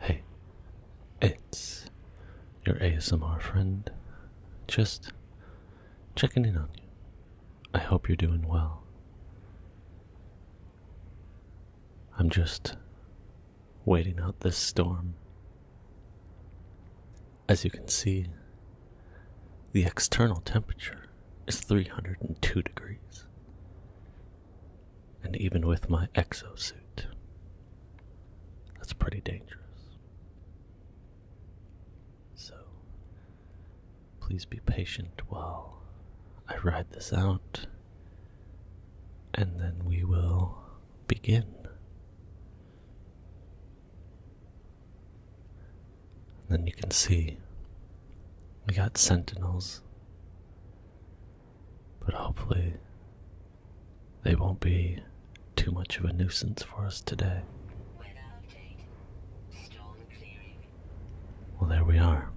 Hey, it's your ASMR friend. Just checking in on you. I hope you're doing well. I'm just waiting out this storm. As you can see, the external temperature is 302 degrees and even with my exosuit. That's pretty dangerous. So, please be patient while I ride this out, and then we will begin. And then you can see we got sentinels but hopefully, they won't be too much of a nuisance for us today. Well, there we are.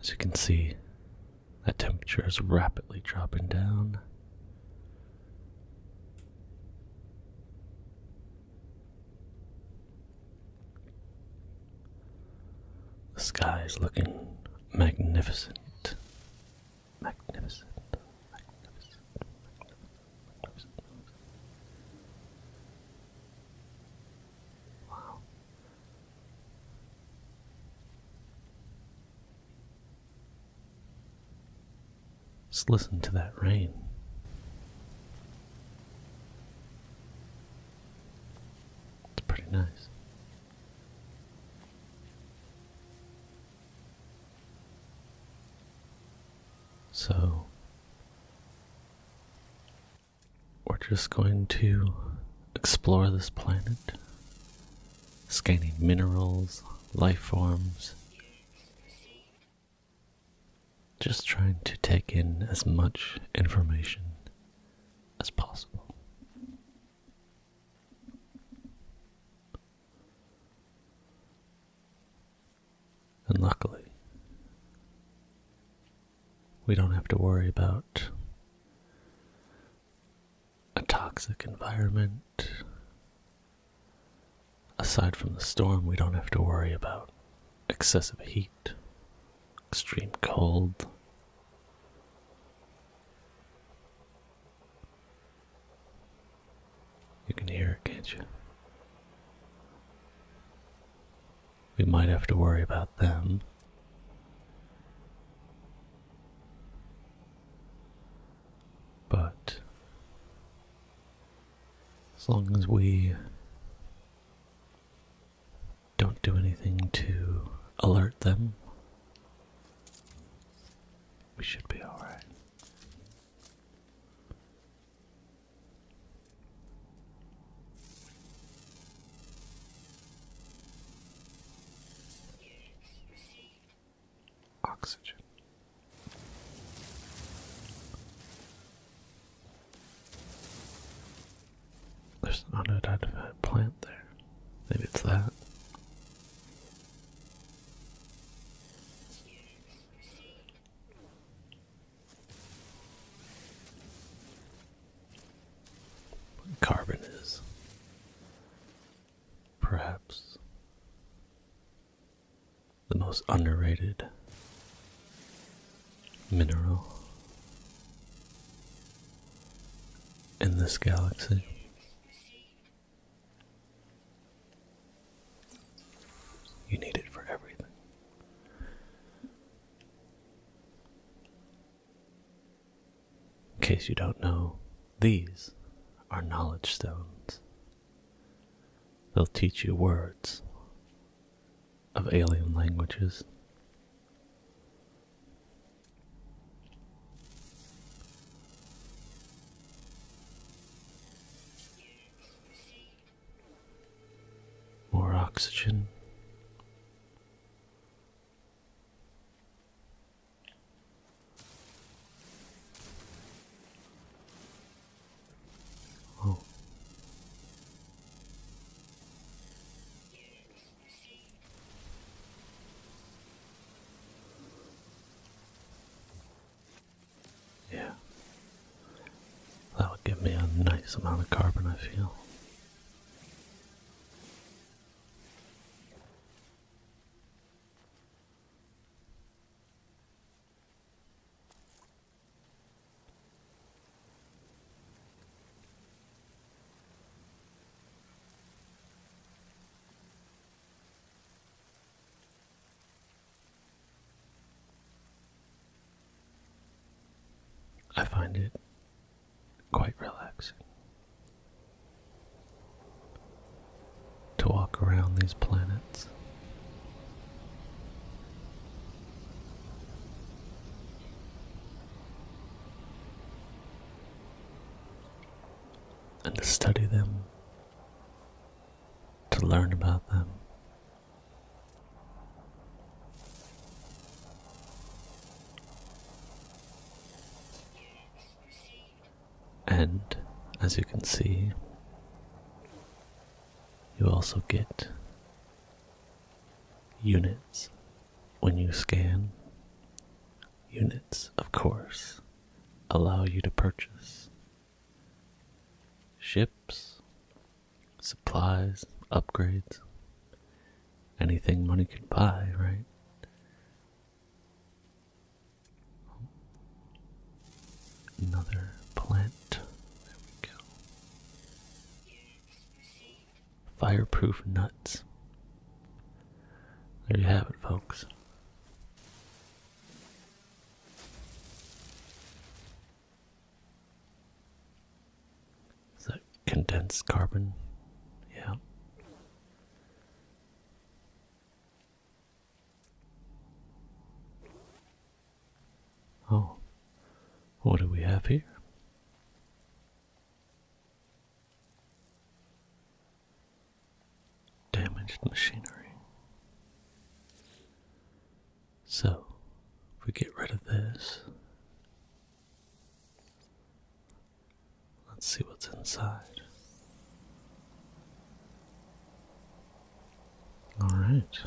As you can see, the temperature is rapidly dropping down. The sky is looking magnificent. Magnificent. Magnificent. Wow. Just listen to that rain. It's pretty nice. So, we're just going to explore this planet, scanning minerals, life forms, just trying to take in as much information as possible. And luckily, we don't have to worry about a toxic environment. Aside from the storm, we don't have to worry about excessive heat extreme cold. You can hear it, can't you? We might have to worry about them. But as long as we don't do anything to alert them, we should be alright. Oxygen. There's an unidentified plant there. Maybe it's that. carbon is. Perhaps the most underrated mineral in this galaxy. You need it for everything. In case you don't know, these are knowledge stones. They'll teach you words of alien languages. More oxygen. Oh. Yeah. That would give me a nice amount of carbon, I feel. I find it quite relaxing to walk around these planets and to study them, to learn about them. And as you can see, you also get units when you scan. Units, of course, allow you to purchase ships, supplies, upgrades, anything money can buy, right? Another plant. There we go. Fireproof nuts. There you have it, folks. Is that condensed carbon? Yeah. Oh, what do we have here? Damaged machinery. So, if we get rid of this, let's see what's inside. All right.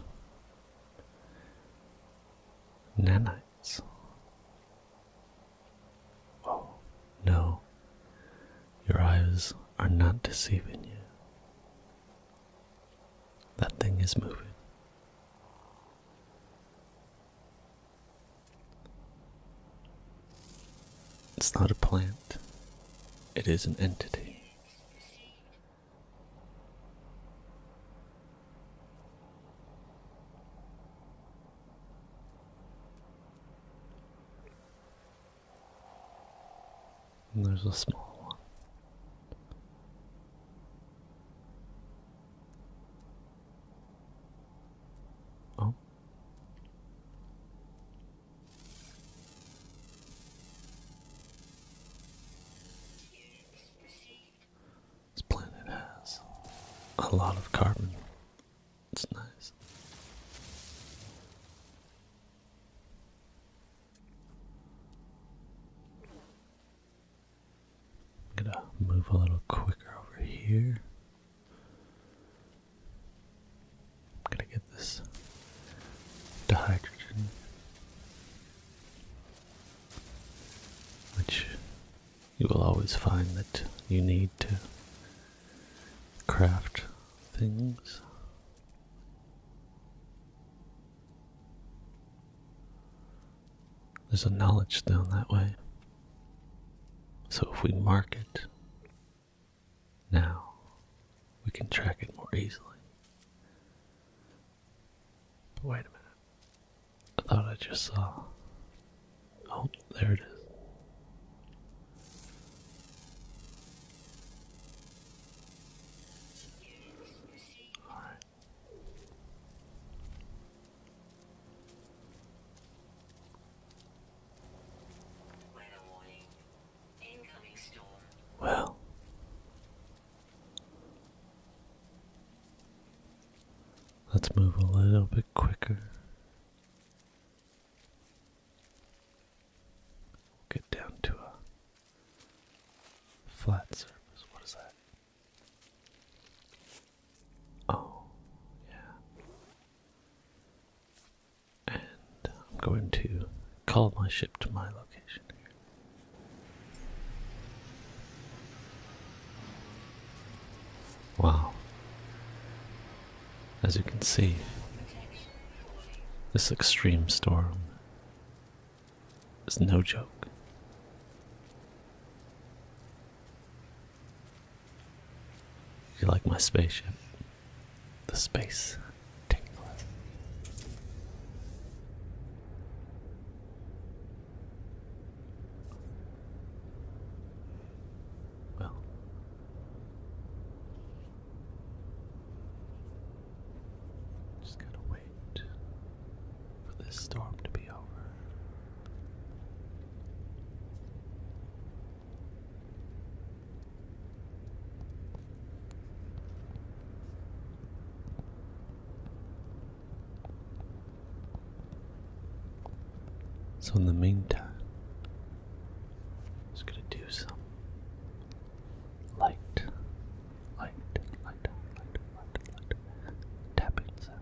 Nanites. Oh, no, your eyes are not deceiving you. That thing is moving. It's not a plant, it is an entity there's a small one. Oh. This planet has a lot of carbon. It's nice. gonna move a little quicker over here. gonna get this dihydrogen which you will always find that you need to craft things. There's a knowledge down that way. So if we mark it now, we can track it more easily. But wait a minute. I thought I just saw. Oh, there it is. All right. Well, Let's move a little bit quicker. We'll get down to a flat surface. What is that? Oh, yeah. And I'm going to call my ship to my location here. Wow. As you can see, this extreme storm is no joke. You like my spaceship? The space tingler. Well, just gotta wait for this storm to be over. So, in the meantime, I'm just going to do some light, light, light, light, light, light tapping sound.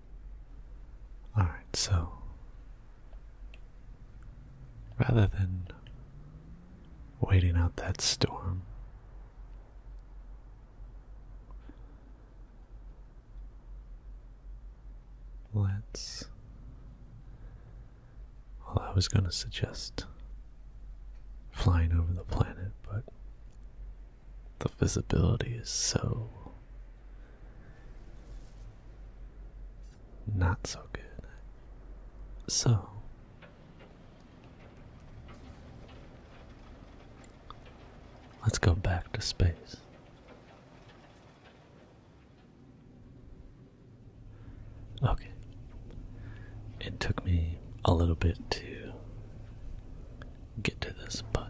Alright, so rather than waiting out that storm, let's. Well, I was going to suggest flying over the planet, but the visibility is so not so good. So, let's go back to space. Okay. It took me a little bit to get to this, but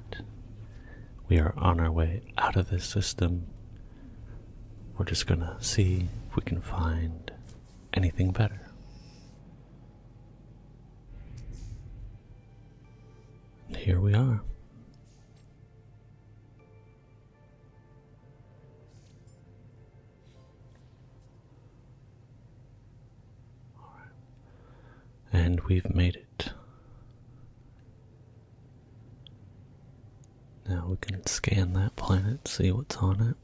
we are on our way out of this system. We're just gonna see if we can find anything better. Here we are. All right. And we've made it. Now we can scan that planet, see what's on it.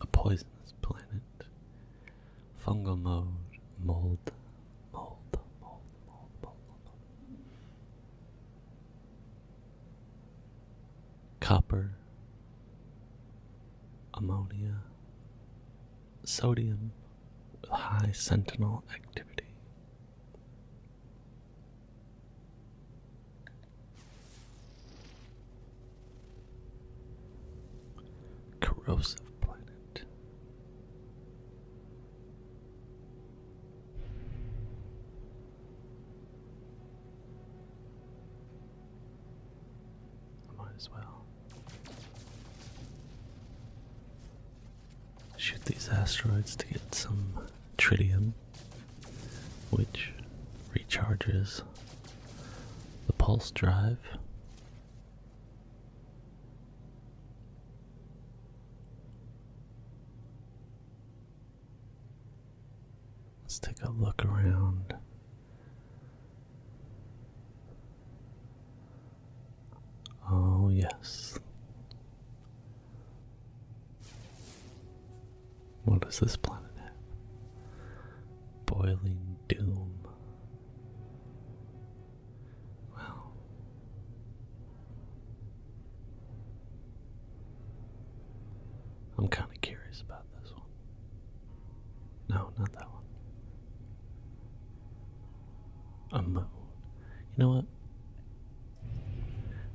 A poisonous planet. Fungal mode. Mold. Mold. Mold. Mold. Mold. mold. Copper. Ammonia sodium with high sentinel activity. Corrosive planet. I might as well Shoot these asteroids to get some tritium, which recharges the pulse drive. Let's take a look around. Oh, yes. What does this planet have? Boiling doom. Wow. I'm kind of curious about this one. No, not that one a moon. You know what?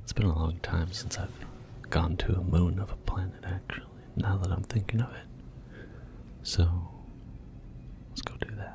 It's been a long time since I've gone to a moon of a planet, actually, now that I'm thinking of it. So, let's go do that.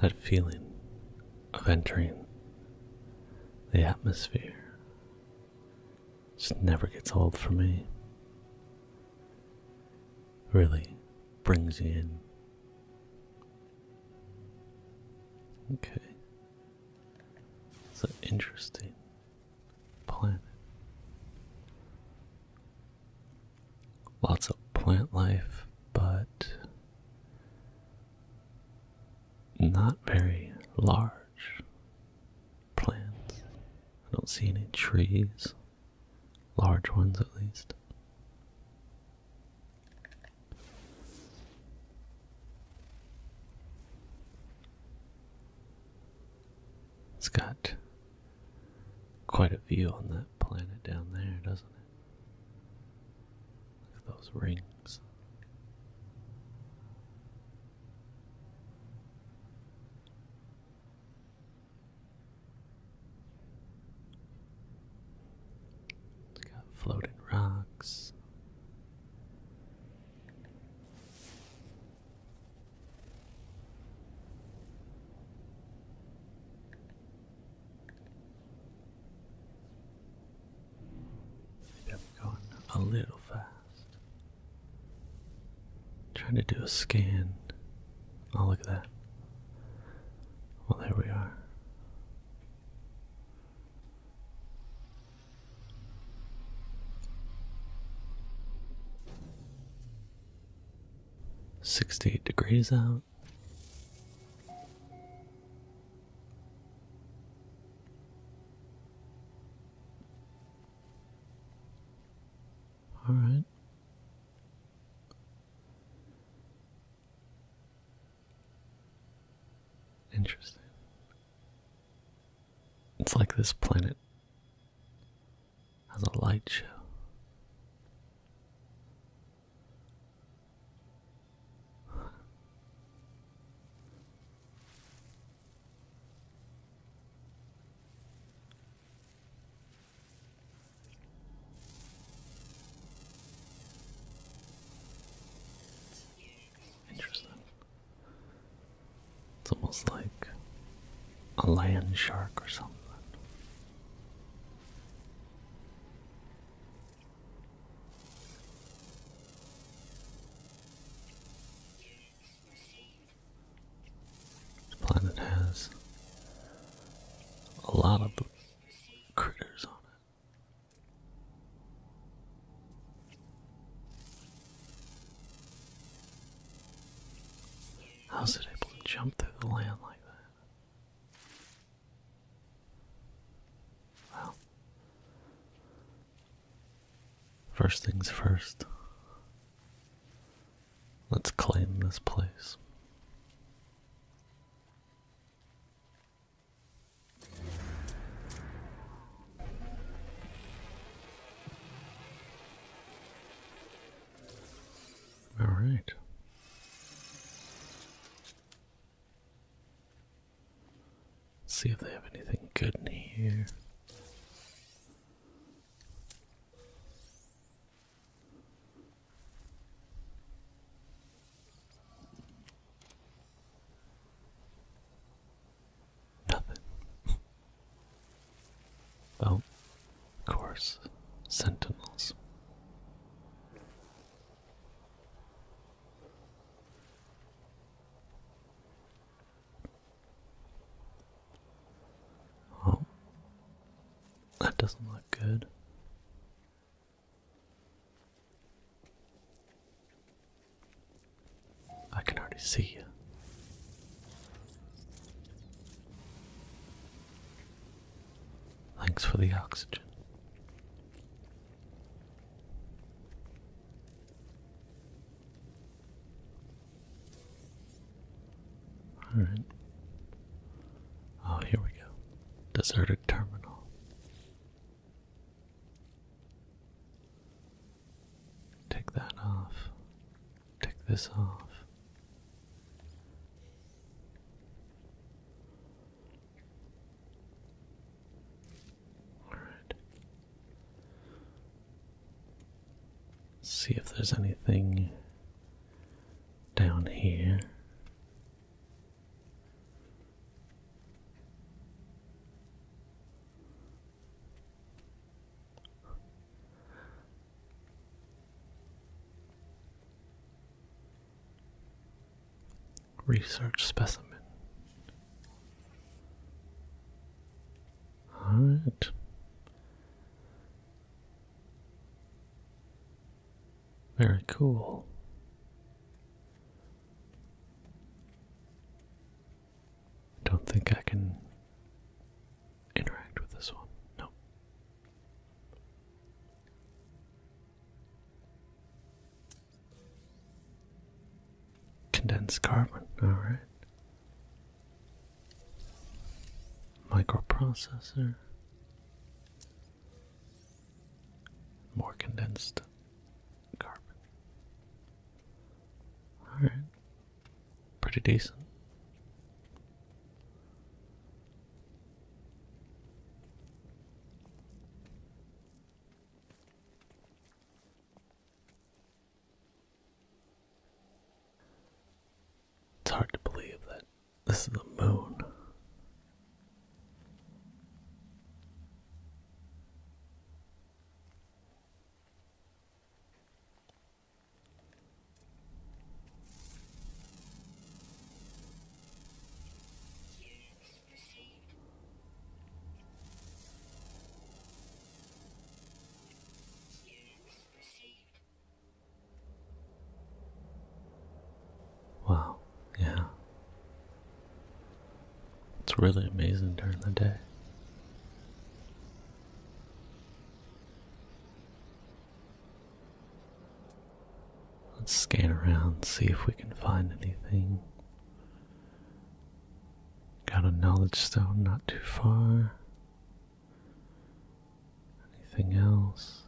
That feeling of entering the atmosphere. Just never gets old for me. Really brings you in. Okay. It's an interesting planet. Lots of plant life, but not very large plants. I don't see any trees, large ones at least. It's got quite a view on that planet down there, doesn't it? Look at those rings. It's got floating rocks. Maybe I'm going a little fast. Trying to do a scan. Oh, look at that. Well, there we are. Sixty eight degrees out. All right. Interesting. It's like this planet has a light show. Interesting. It's almost like a land shark or something. This planet has a lot of critters on it. How's it able to jump through the land like that? Well, first things first, let's claim this place. All right see if they have anything good in here. Nothing. oh, of course, sentinels. Oh, that doesn't look good. I can already see you. Thanks for the oxygen. All right. Oh, here we go. Deserted terminal. Take that off. Take this off. Alright. See if there's anything down here research specimen. All right. Very cool. Don't think I can interact with this one. Nope. Condensed carbon, alright. Microprocessor. More condensed carbon. Alright. Pretty decent. It's hard to believe that this is the moon. Wow, yeah. It's really amazing during the day. Let's scan around, see if we can find anything. Got a knowledge stone not too far. Anything else?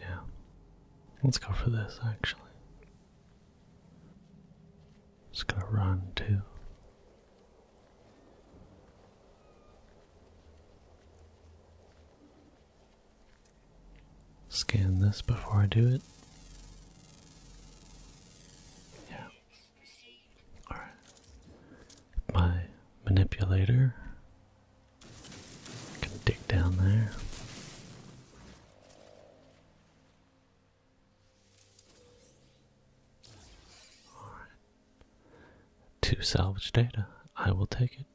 Yeah. Let's go for this actually. Just gonna run too. Scan this before I do it. Yeah. Alright. My manipulator can dig down there. To salvage data. I will take it.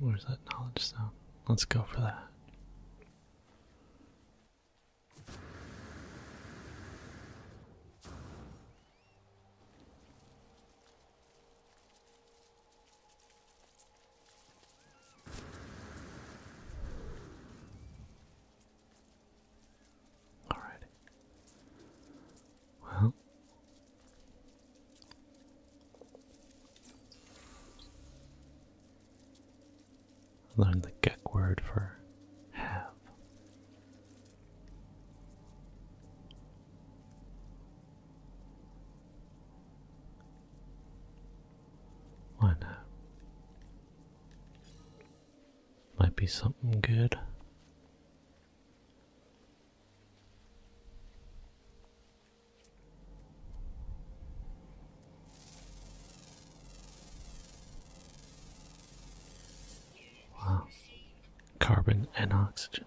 Where's that knowledge zone? Let's go for that. Alrighty. Well, Learn the Gek word for have. Why not? Might be something good. Wow. Carbon and oxygen.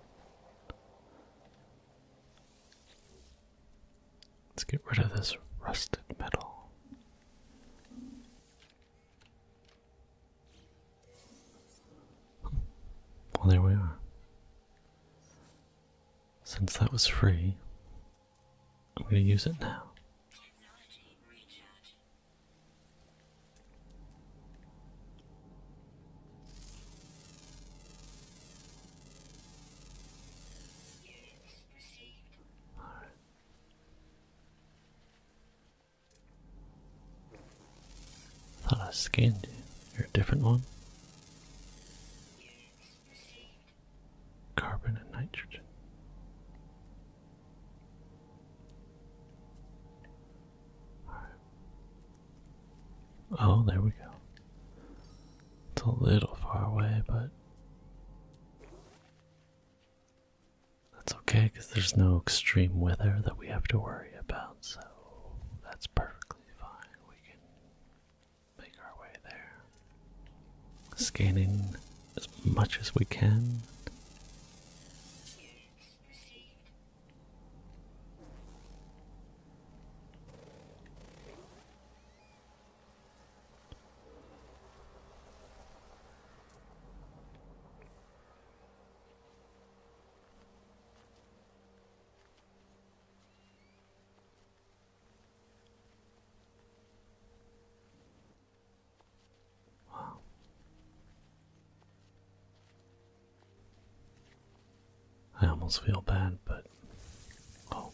Let's get rid of this rusted metal. Well, there we are. Since that was free, I'm going to use it now. thought I scanned you. You're a different one carbon and nitrogen. Oh, there we go. It's a little far away, but that's okay because there's no extreme weather that we have to worry about, so that's perfectly fine. We can make our way there, scanning as much as we can. I almost feel bad, but. Oh,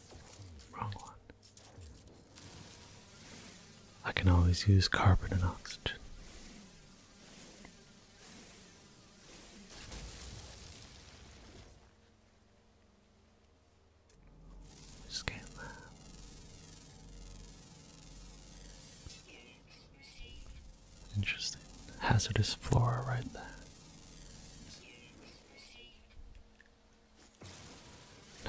wrong one. I can always use carbon and oxygen. Just Interesting. Hazardous flora right there.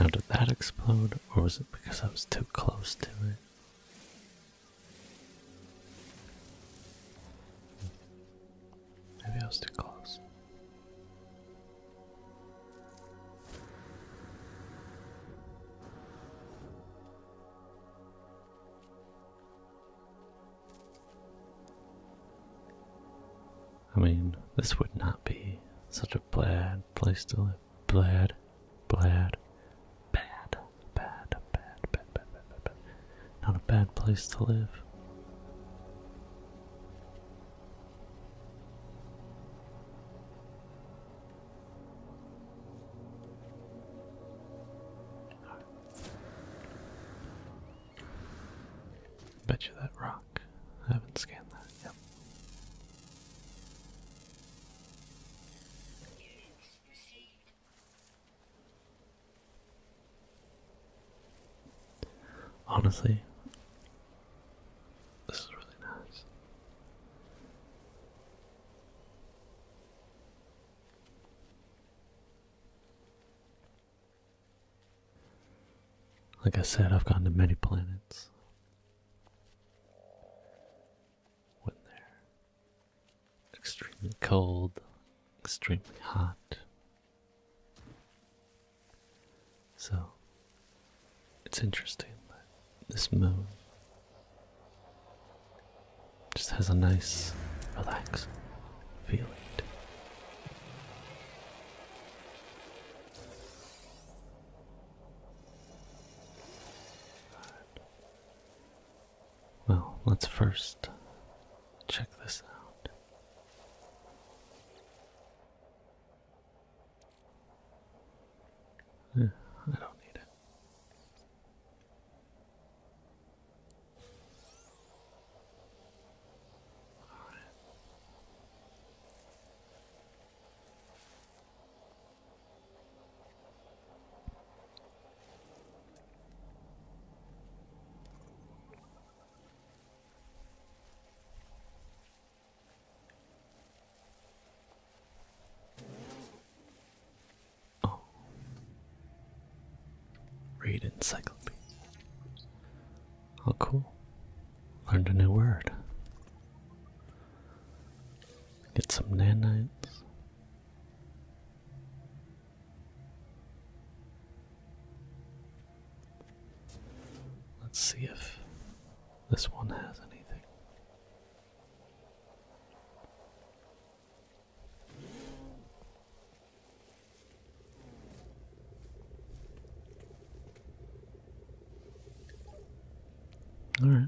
Now did that explode or was it because I was too close to it? Maybe I was too close. I mean, this would not be such a bad place to live. Bad, bad, bad, bad, bad, bad, bad, bad, bad, not a bad place to live. Bet you that rock. I haven't scanned that. Yep. Honestly, this is really nice. Like I said, I've gone to many planets. When they extremely cold, extremely hot, so it's interesting this moon just has a nice, relaxed feeling. Well, let's first check this out. I don't need it. All right. Oh. Read encyclopedia. Oh, cool. Learned a new word. Get some nanites. Let's see if this one has anything. All right,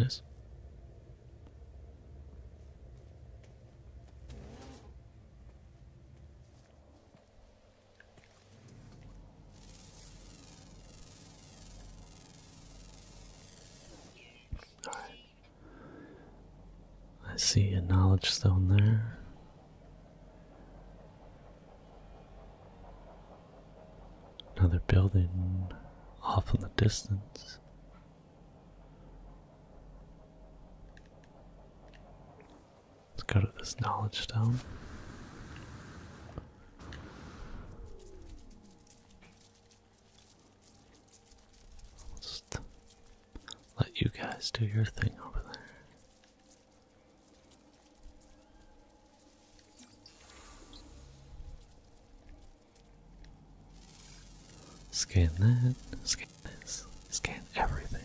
nice. I see a knowledge stone there. Another building off in the distance. Let's go to this knowledge stone. let you guys do your thing over there. Scan that. Scan scan everything.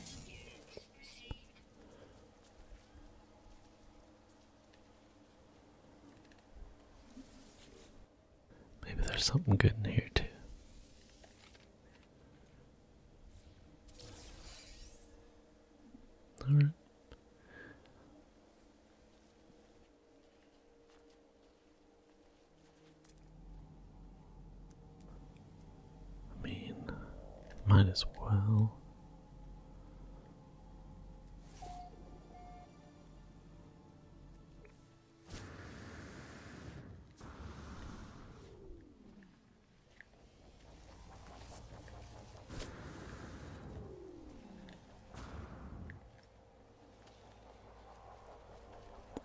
Maybe there's something good in here too. All right. I mean, might as well.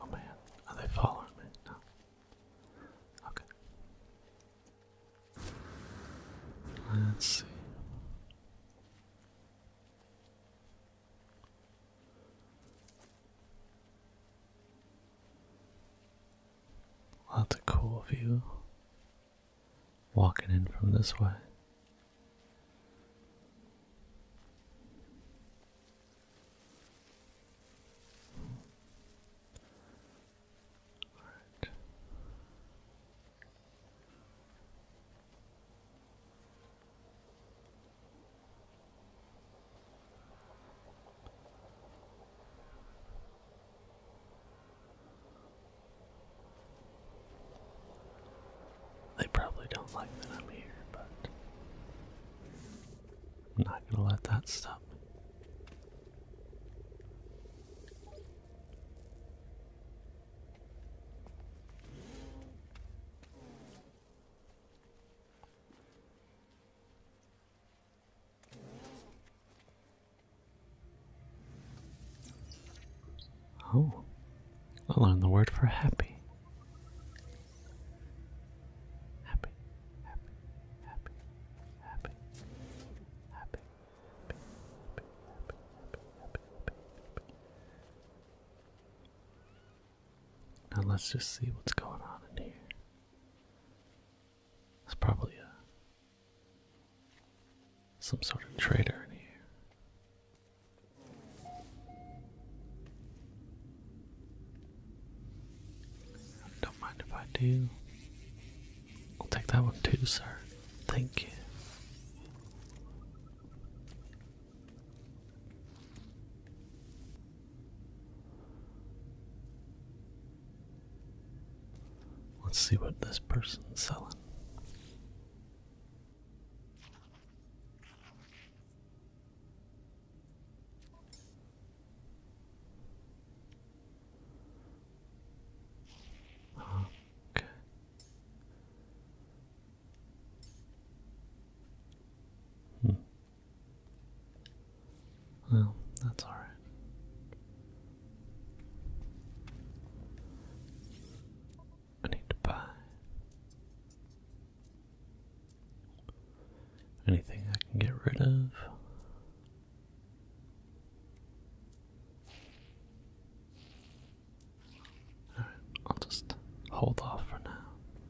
Oh man, are they following me? No. Okay. Let's see. Well, that's a cool view. Walking in from this way. They probably don't like that I'm here, but I'm not gonna let that stop me. Oh, I learned the word for happy happy, happy, happy, happy, happy, happy, happy, happy, happy, happy. Now let's just see what's going on in here. There's probably a some sort of traitor in here. Don't mind if I do. I'll take that one too, sir. Thank you. Let's see what this person's selling. Okay. Hmm. Well, that's all right. I need to buy. Anything I can get rid of. Alright, I'll just hold off for now.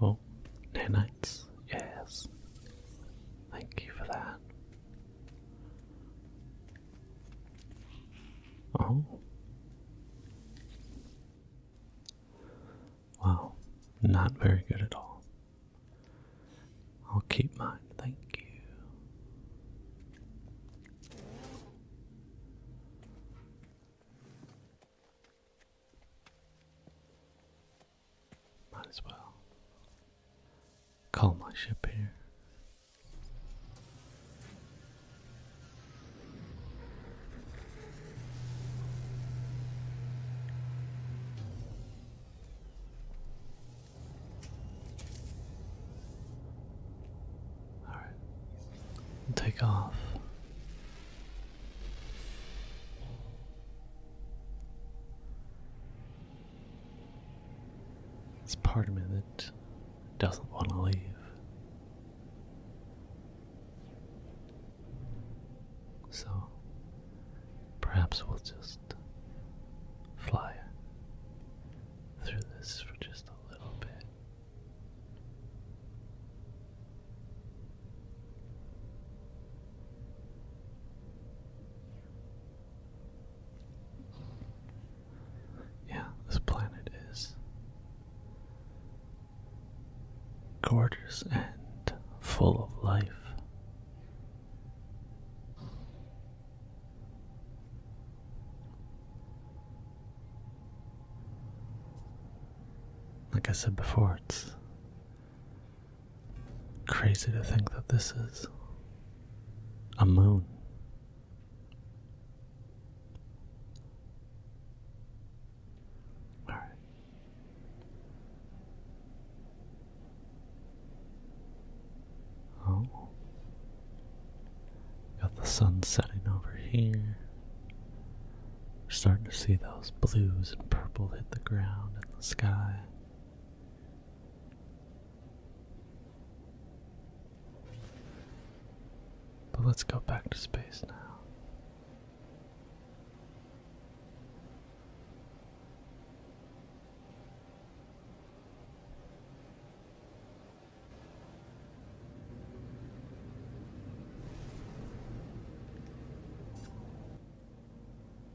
Oh, nanites, yes. Thank you for that. Oh. Wow, not very good at all. I'll keep mine, thank you. Might as well. Call my ship here. All take off. It's part of me that doesn't want to leave. So perhaps we'll just fly through this for just a little bit. Yeah, this planet is gorgeous and full of life. Like I said before, it's crazy to think that this is a moon. All right. Oh, got the sun setting over here. starting to see those blues and purple hit the ground and the sky. But let's go back to space now.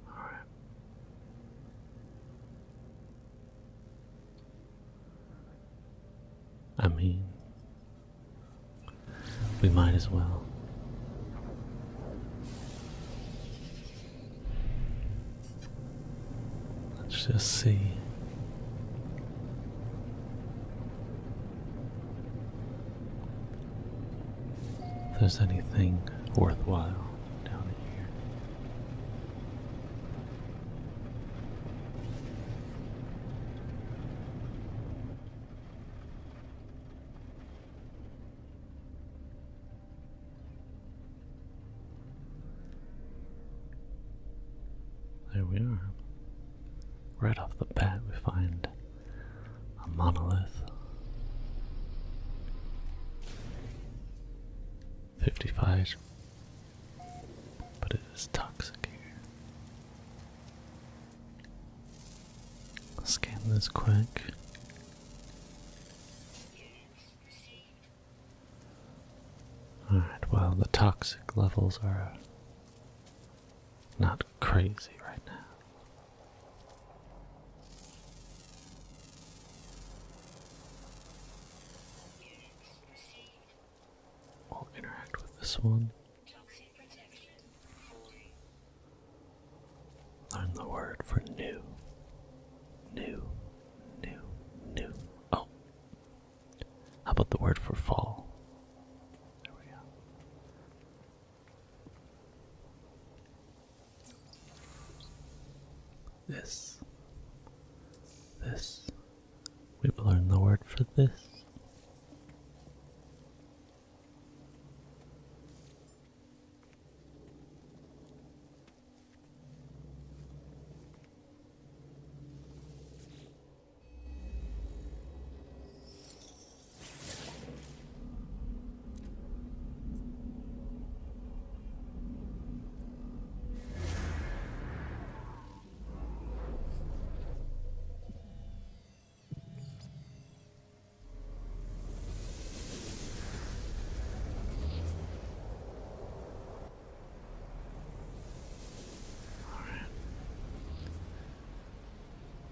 All right. I mean, we might as well. Let's just see. if There's anything worthwhile down here. There we are. Right off the bat, we find a monolith. 55, But it is toxic here. Scan this quick. Alright, well, the toxic levels are not crazy right now. I'll interact with this one. Learn the word for new. New, new, new. Oh. How about the word for fall? There we go. This. This. We've learned the word for this.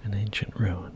An ancient ruin.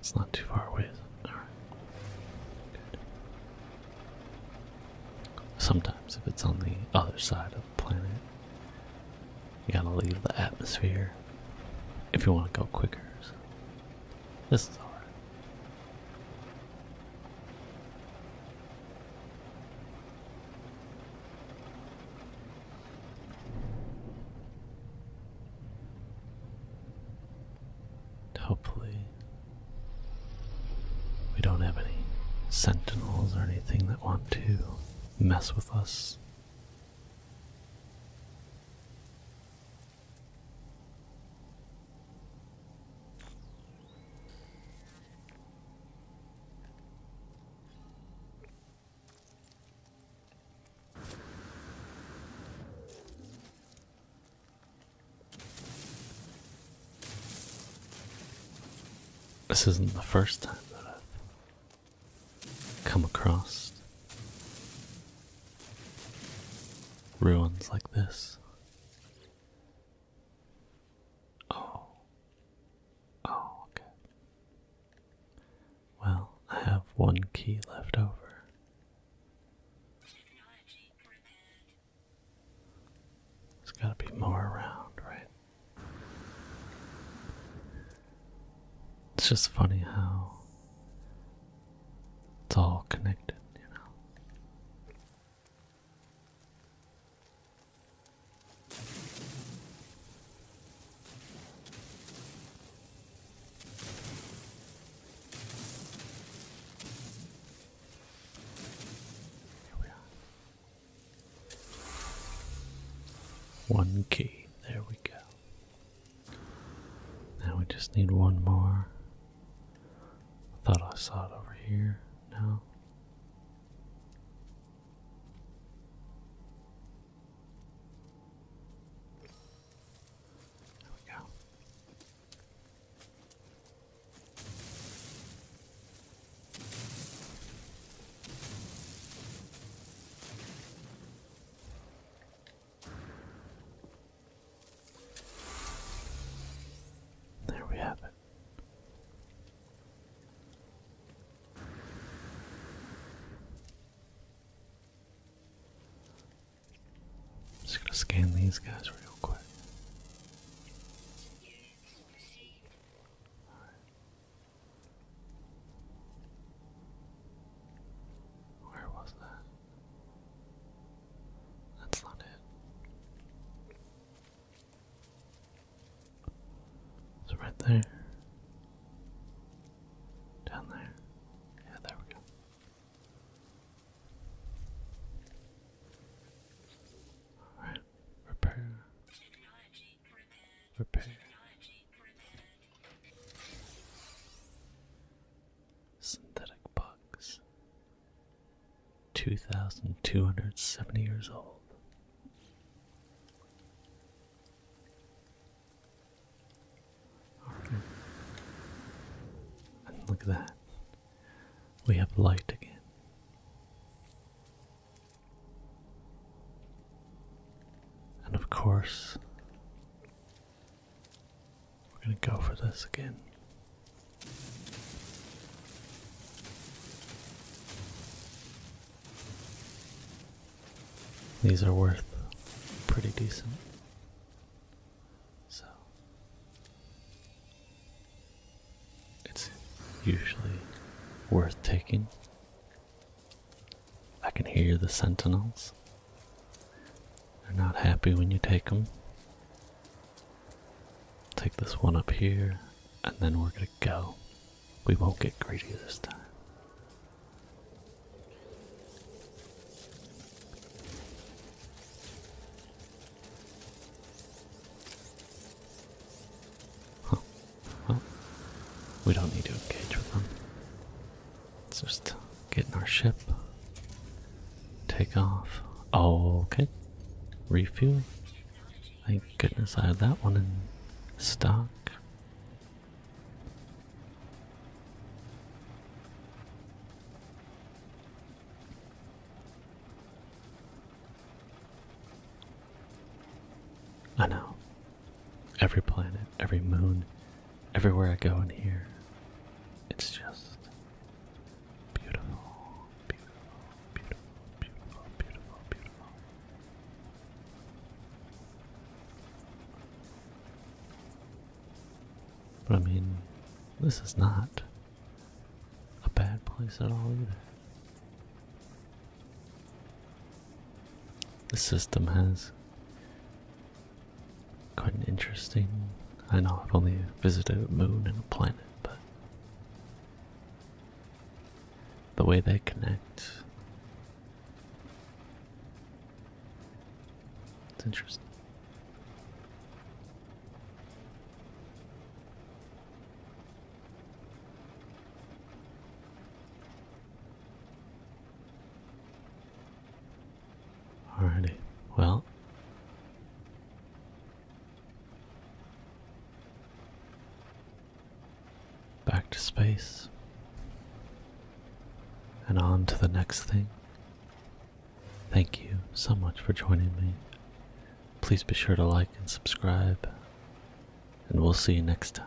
It's not too far away, Sometimes, if it's on the other side of the planet, you gotta leave the atmosphere if you want to go quicker. This is alright. Hopefully, we don't have any sentinels or anything that want to mess with us. This isn't the first time that I've come across ruins like this. Oh. Oh, okay. Well, I have one key left over. There's got to be more around, right? It's just funny how it's all connected, you know. One key. There we go. Now we just need one more. thought I saw it over here. No. There we go. There we have it. Just gonna scan these guys real quick. Where was that? That's not it. It's right there. Down there. Yeah, there we go repair. Repair. Synthetic bugs. 2,270 years old look at that. We have light again. And of course, we're going to go for this again. These are worth pretty decent. So it's usually worth taking. I can hear the sentinels. They're not happy when you take them. Take this one up here, and then we're gonna go. We won't get greedy this time. Well, we don't need to engage with them. Let's just get in our ship. Take off. okay. Refuel. Thank goodness I have that one in stock. I know. Every planet, every moon, everywhere I go in here, it's just beautiful, beautiful, beautiful, beautiful, beautiful, beautiful. But I mean, this is not a bad place at all either. The system has quite an interesting. I know I've only visited a moon and a planet, but the way they connect it's interesting. Alrighty, well. Back to space and on to the next thing. Thank you so much for joining me. Please be sure to like and subscribe, and we'll see you next time.